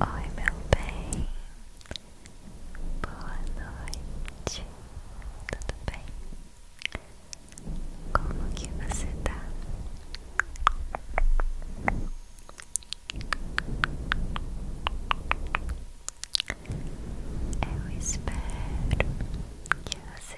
Oi, meu bem. Boa noite. Tudo bem? Como que você está? Eu espero que você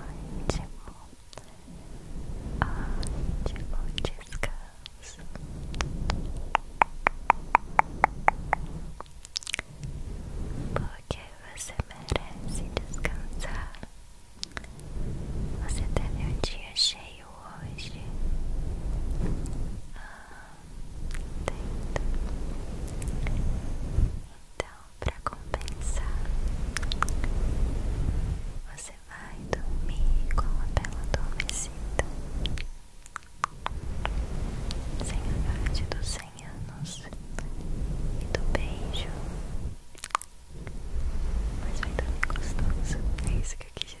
Ótimo, ótimo descanso. Porque você merece descansar. Você teve um dia cheio hoje. Ah, entendo. Então pra compensar, você vai dormir com a bela adormecida. Sem a idade dos 100 anos e do beijo, mas vai dormir gostoso. É isso que eu quis dizer.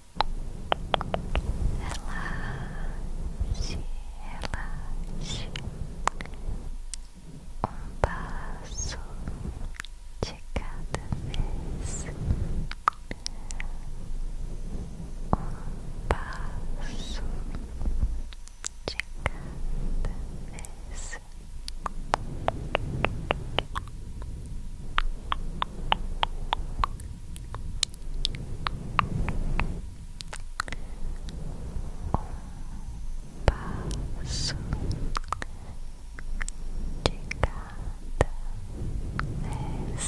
Relaxe, relaxe. Um passo de cada vez. Um passo de cada vez um passo de cada vez.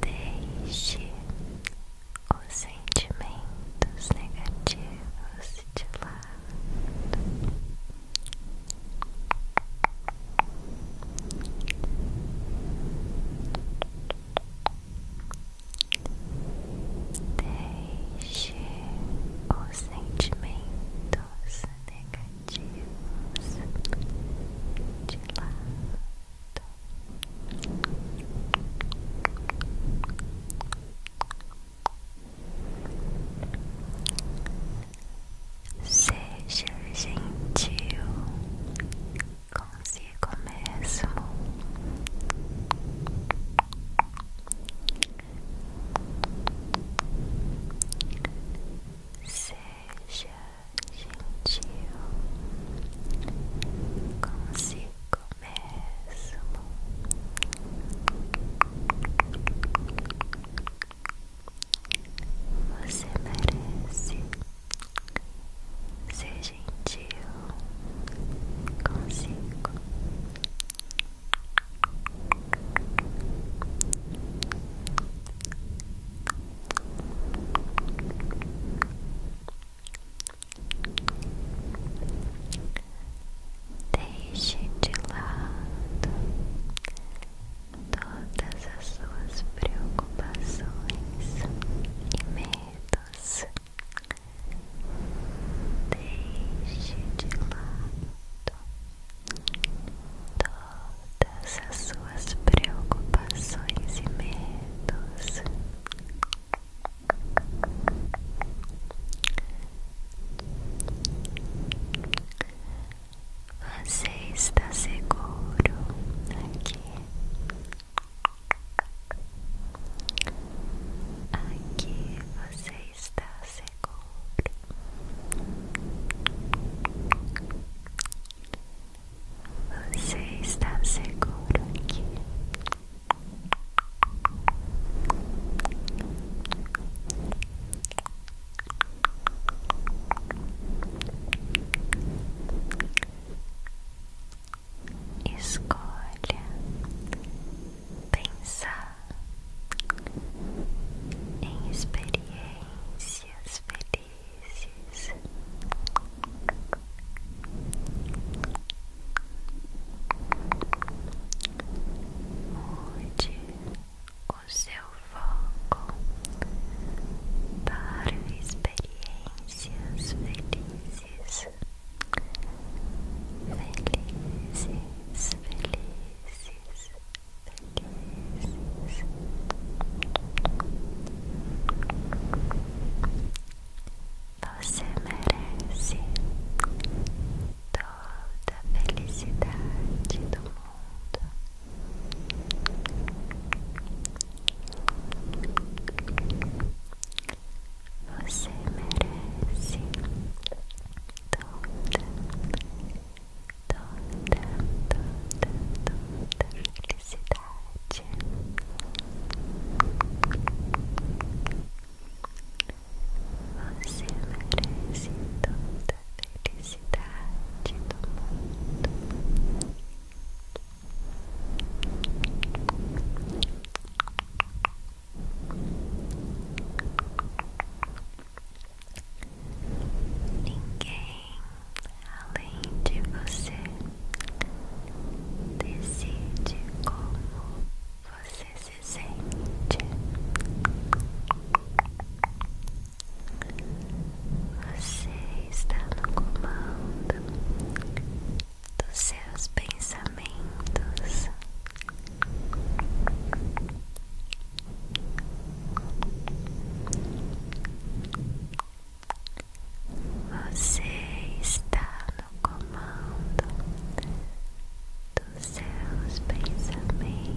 Deixe os sentimentos negativos de lado. Deixe os sentimentos negativos negativos de lado. Seja gentil consigo mesmo. Seja seja gentil consigo mesmo. Você merece ser gentil consigo. Deixe de lado todas as suas preocupações e medos. Deixe de lado todas as suas preocupações e medos. Você está seguro aqui. Aqui você está seguro. Você está seguro aqui. Escolha pensar em experiência. Notícias felizes. Mude o seu foco para experiências felizes. Felizes, felizes. Você merece toda a felicidade do mundo. Você merece toda toda, toda, toda felicidade. Você merece toda felicidade do mundo. Ninguém além de você decide como você se sente. Você está no comando dos seus pensamentos. Você está no comando dos seus pensamentos.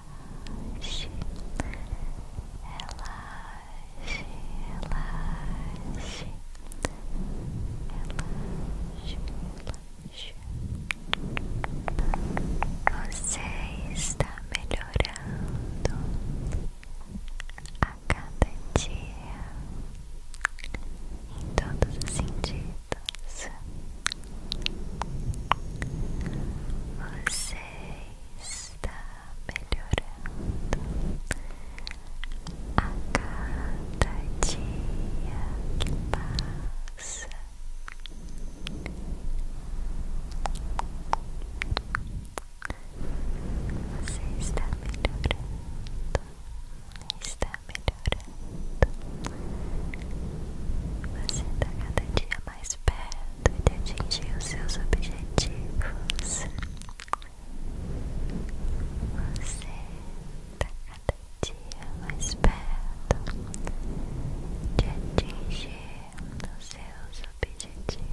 relaxe, relaxe, relaxe, relaxe, relaxe. Você está melhorando a cada dia em todos os sentidos. Você está melhorando a cada dia que passa. Você está melhorando, está melhorando. Você está cada dia mais perto de atingir os seus objetivos. Você está cada dia mais perto de atingir os seus objetivos.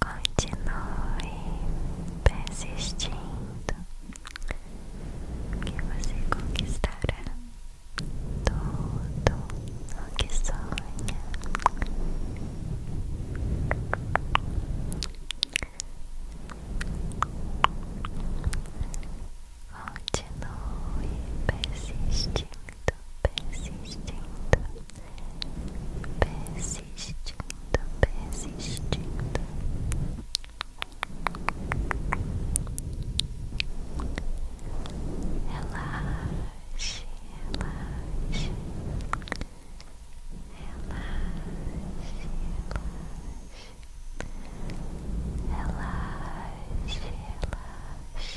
Continue persistindo, que você conquistará tudo o que sonha. Continue persistindo persistindo, persistindo, persistindo. ela relaxe, relaxe, relaxe. Relaxe, relaxe,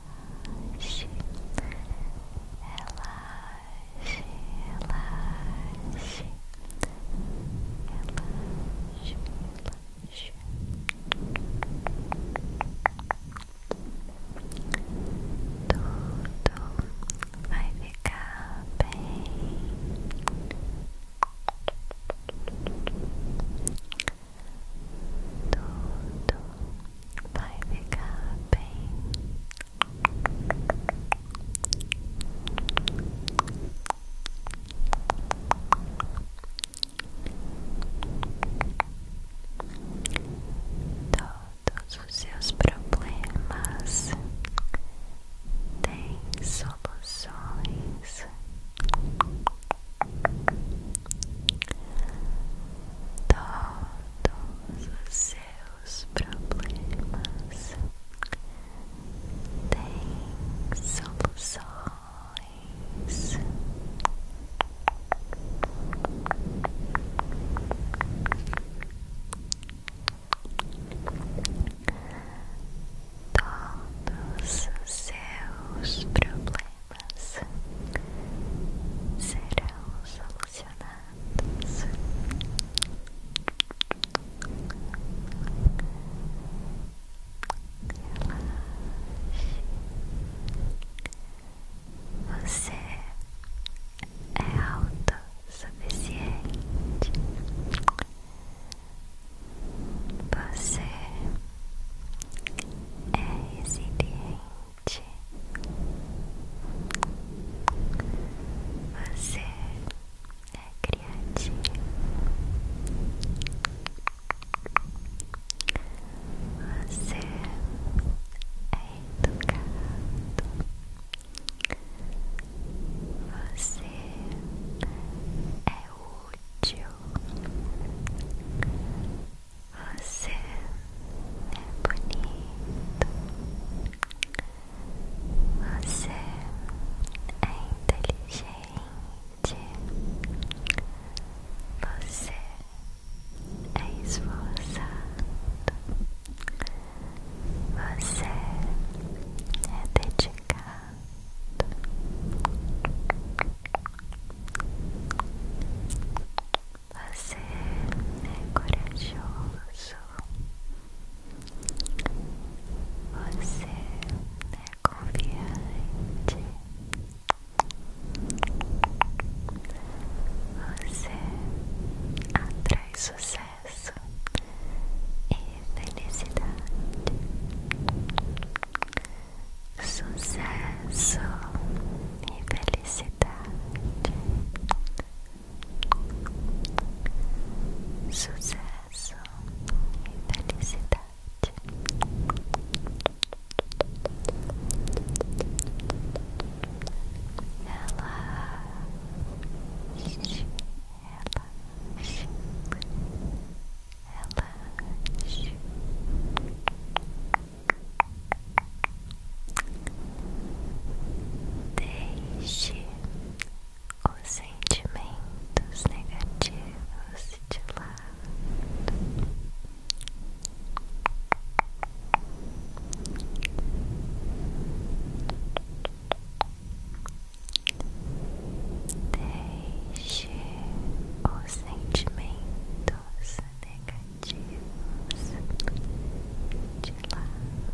relaxe, relaxe, relaxe, relaxe, relaxe. Tudo vai ficar bem. Tudo vai ficar bem. Todos os seus problemas têm soluções. Todos seus problemas têm soluções. Todos seus problemas problemas serão solucionados. Relaxe. Você é autossuficiente. Você é resiliente. Você é criativo. Você é educado. Você é útil. Você é bonito. Você é inteligente. Você é esforçado. Você é dedicado. Você é corajoso. Você é confiante. Você atrai sucesso e felicidade sucesso e felicidade. Sucesso e felicidade. ela relaxe, relaxe deixe os sentimentos negativos de lado Deixe os sentimentos negativos de lado.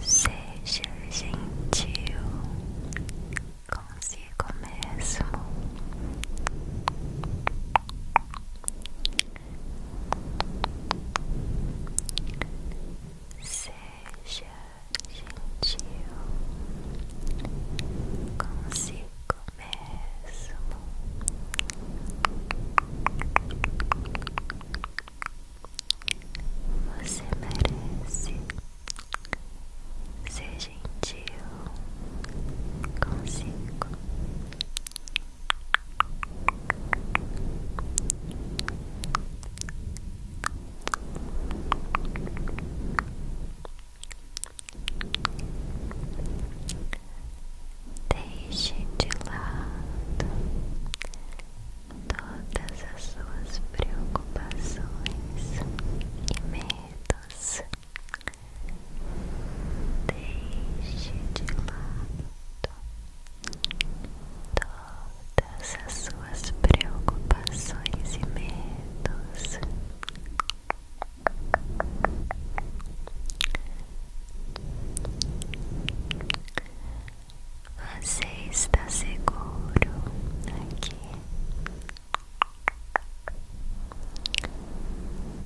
Seja gentil consigo mesmo. Seja gentil consigo mesmo. Você merece ser gentil consigo. Deixe de lado todas as suas preocupações e medos. Deixe de lado todas as suas preocupações e medos. Você está seguro aqui.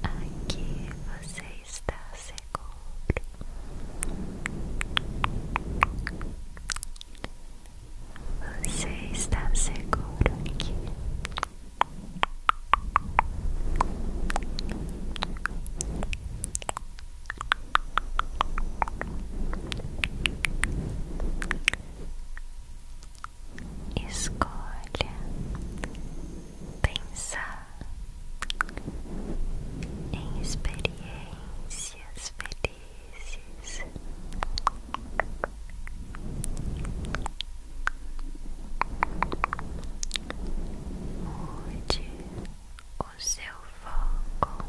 Aqui você estás seguro. ¿usted está seguro aquí? Escolha pensar em experiências felizes. Mude o seu foco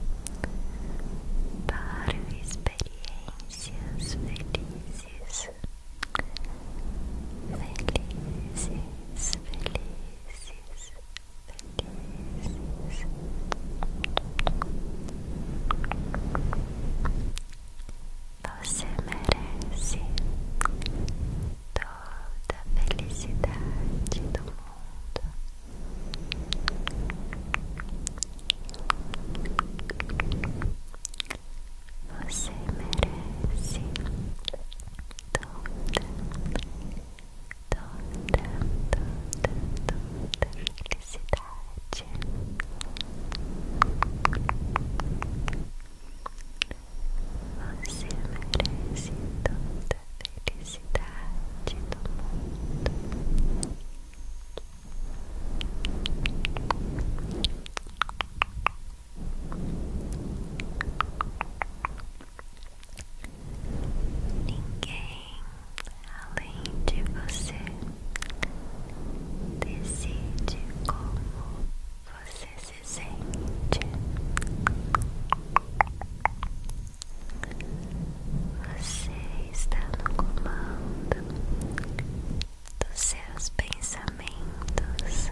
para experiências felizes felizes, felizes, felizes. Você merece toda a felicidade do mundo. Você merece toda, toda, toda, toda felicidade. Você merece toda felicidade Você merece toda felicidade do mundo. Ninguém além de você decide como você se sente. Você está no comando dos seus pensamentos.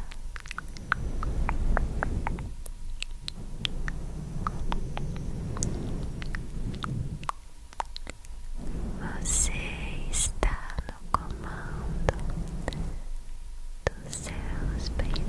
Você está no comando dos seus pensamentos.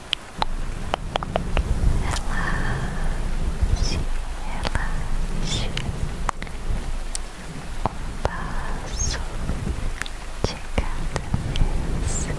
relaxe, relaxe, um passo de cada vez, um passo de cada vez.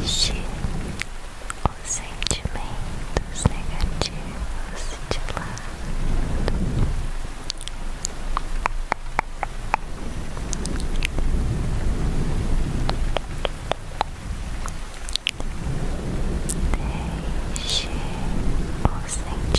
Deixe os sentimentos negativos de lado. Deixe os sentimentos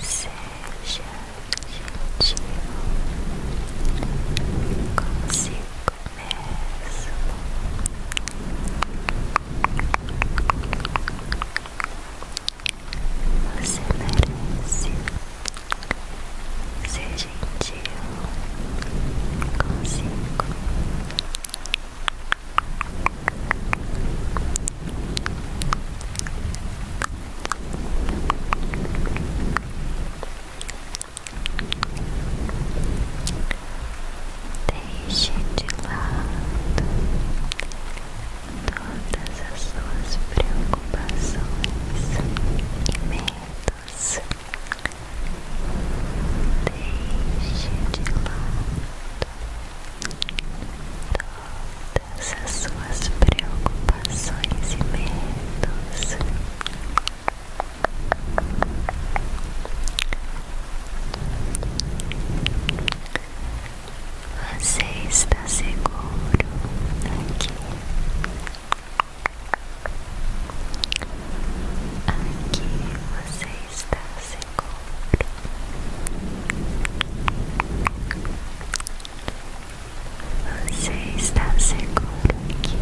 Seja gentil consigo mesmo. Você merece. É Seja gentil consigo. Deixe de lado todas as suas preocupações e medos. Deixe de lado todas as suas preocupações e medos. Você está seguro aqui. Aqui você está seco Você está seco aqui.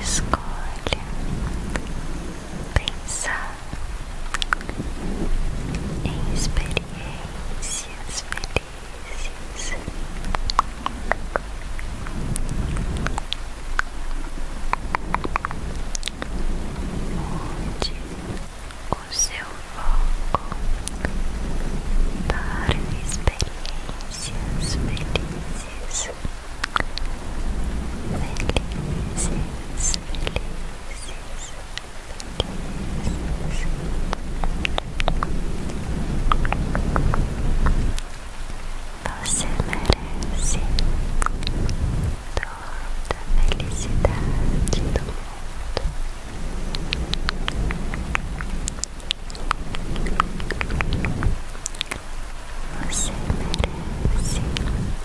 Escolha pensar experiências felizes. Onde o seu foco para experiências felizes, felizes, felizes. Você merece toda a felicidade do mundo. Você merece toda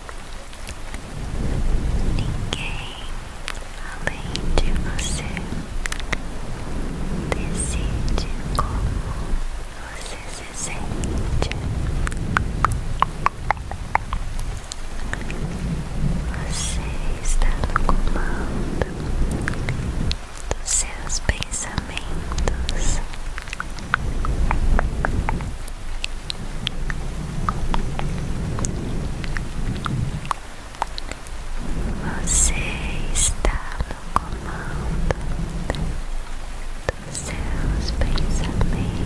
Ninguém além de você decide como você se sente. Você está no comando dos seus pensamentos. Você está no comando dos seus pensamentos.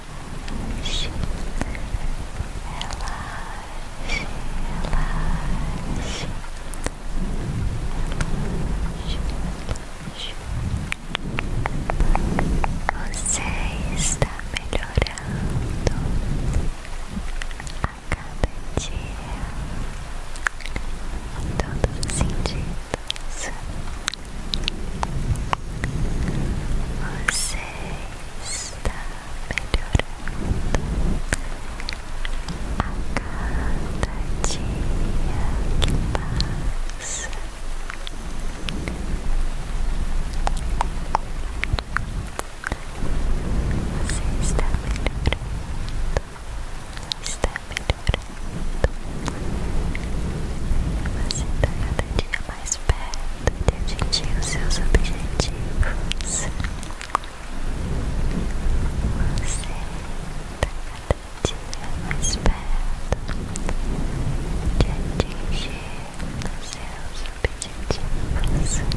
relaxe, relaxe, relaxe. Você está melhorando a cada dia em todos os sentidos. Você está melhorando a cada día que pasa Você está melhorando, está melhorando. está cada dia mais perto de atingir os seus objetivos. Você está cada dia mais perto de atingir os seus objetivos.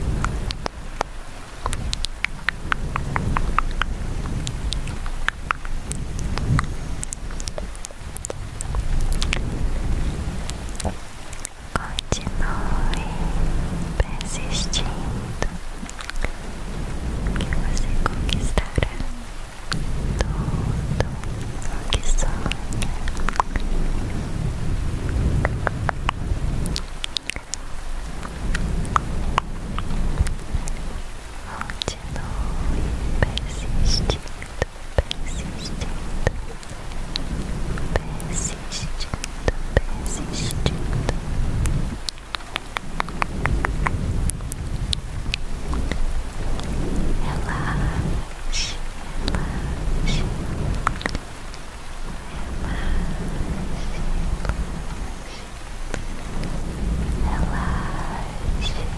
Continue persistindo que você conquistará tudo o que sonha. Continue persistindo, persistindo, persistindo, persistindo. Relaxe, relaxe, relaxe, relaxe, relaxe.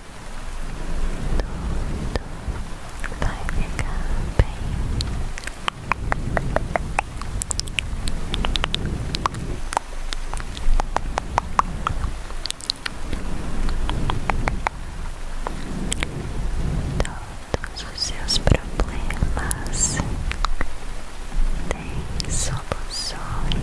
Tudo vai ficar bem. Todos os seus problemas têm soluções.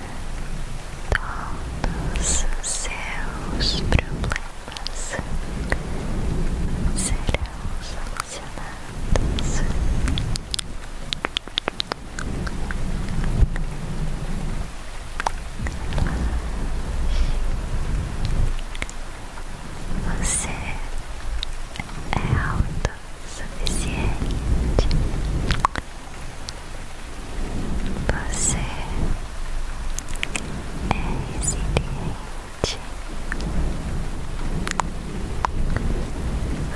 todos seus problemas serão solucionados. Você é alto o suficiente você é resiliente.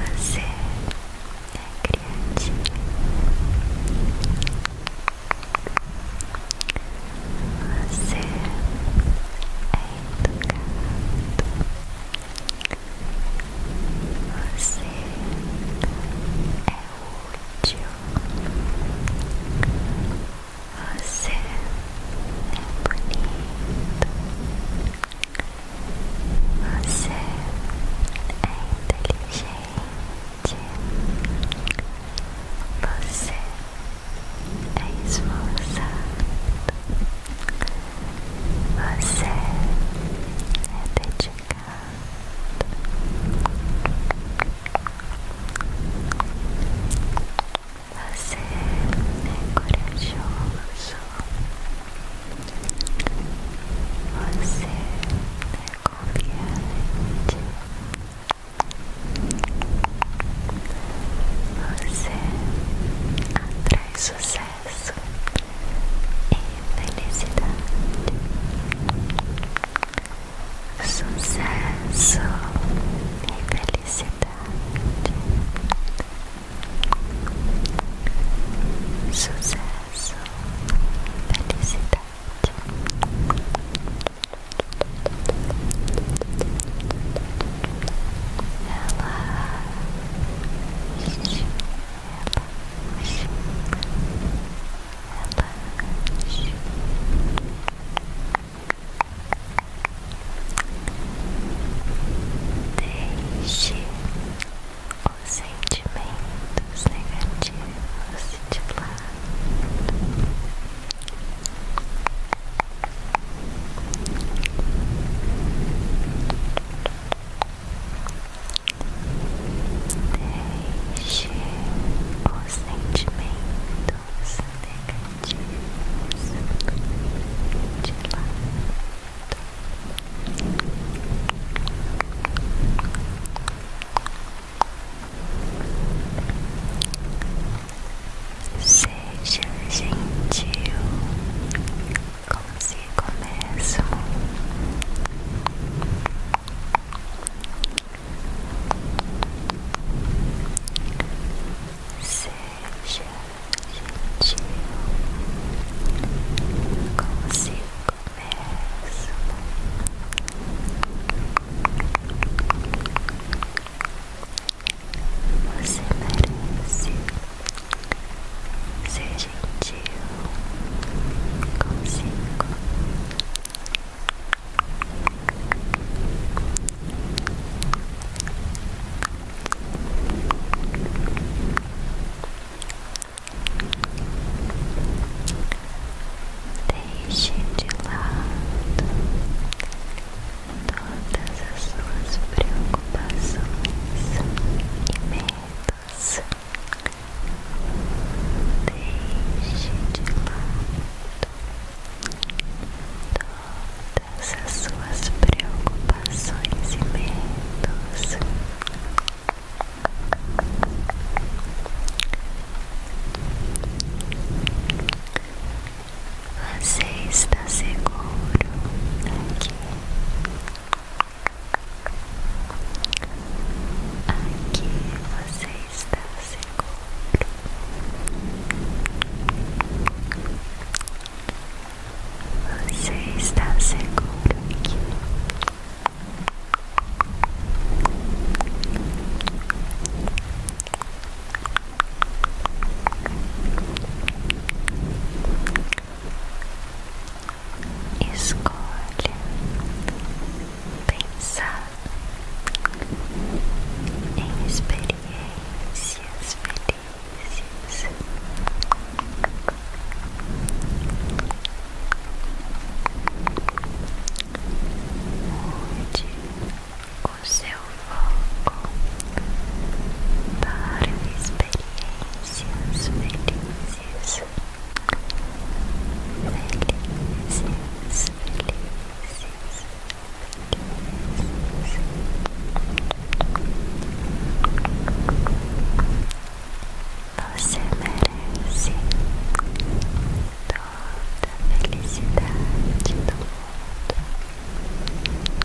Você é criativo. Você é educado. Você é útil. Você é bonito. Você é inteligente. Você é esforçado. Você é dedicado. Você é corajoso. Você é confiante. Você traz sucesso e felicidade sucesso e felicidade, sucesso e felicidade. ela relaxe, relaxe. Deixe os sentimentos negativos de lado. Relaxe Deixe os sentimentos negativos de lado. Seja gentil consigo mesmo. Seja gentil consigo mesmo. Você merece. Seja gentil consigo. Deixe de lado todas as suas preocupações e medos. Deixe de lado todas as suas preocupações e medos. Você está seguro aqui. Aqui você está seguro. Você está seguro escolha pensar em experiências felizes. Mude o seu foco para experiências felizes felicidades felizes, felizes. Você merece toda a felicidades do mundo.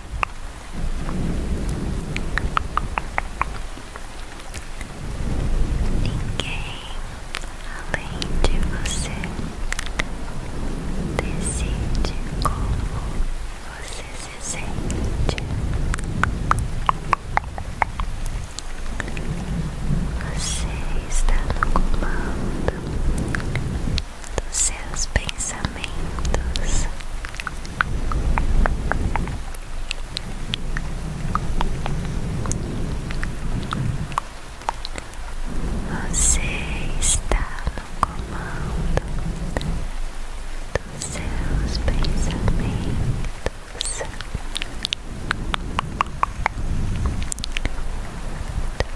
Ninguém além de você decide como você se sente. Você está no comando dos seus pensamentos. Você está no comando dos seus pensamentos.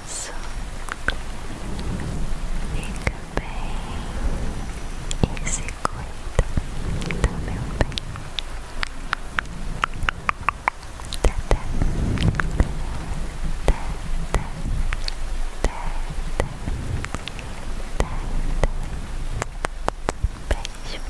abraço, fica bem e se cuida, tá meu bem? Beijo.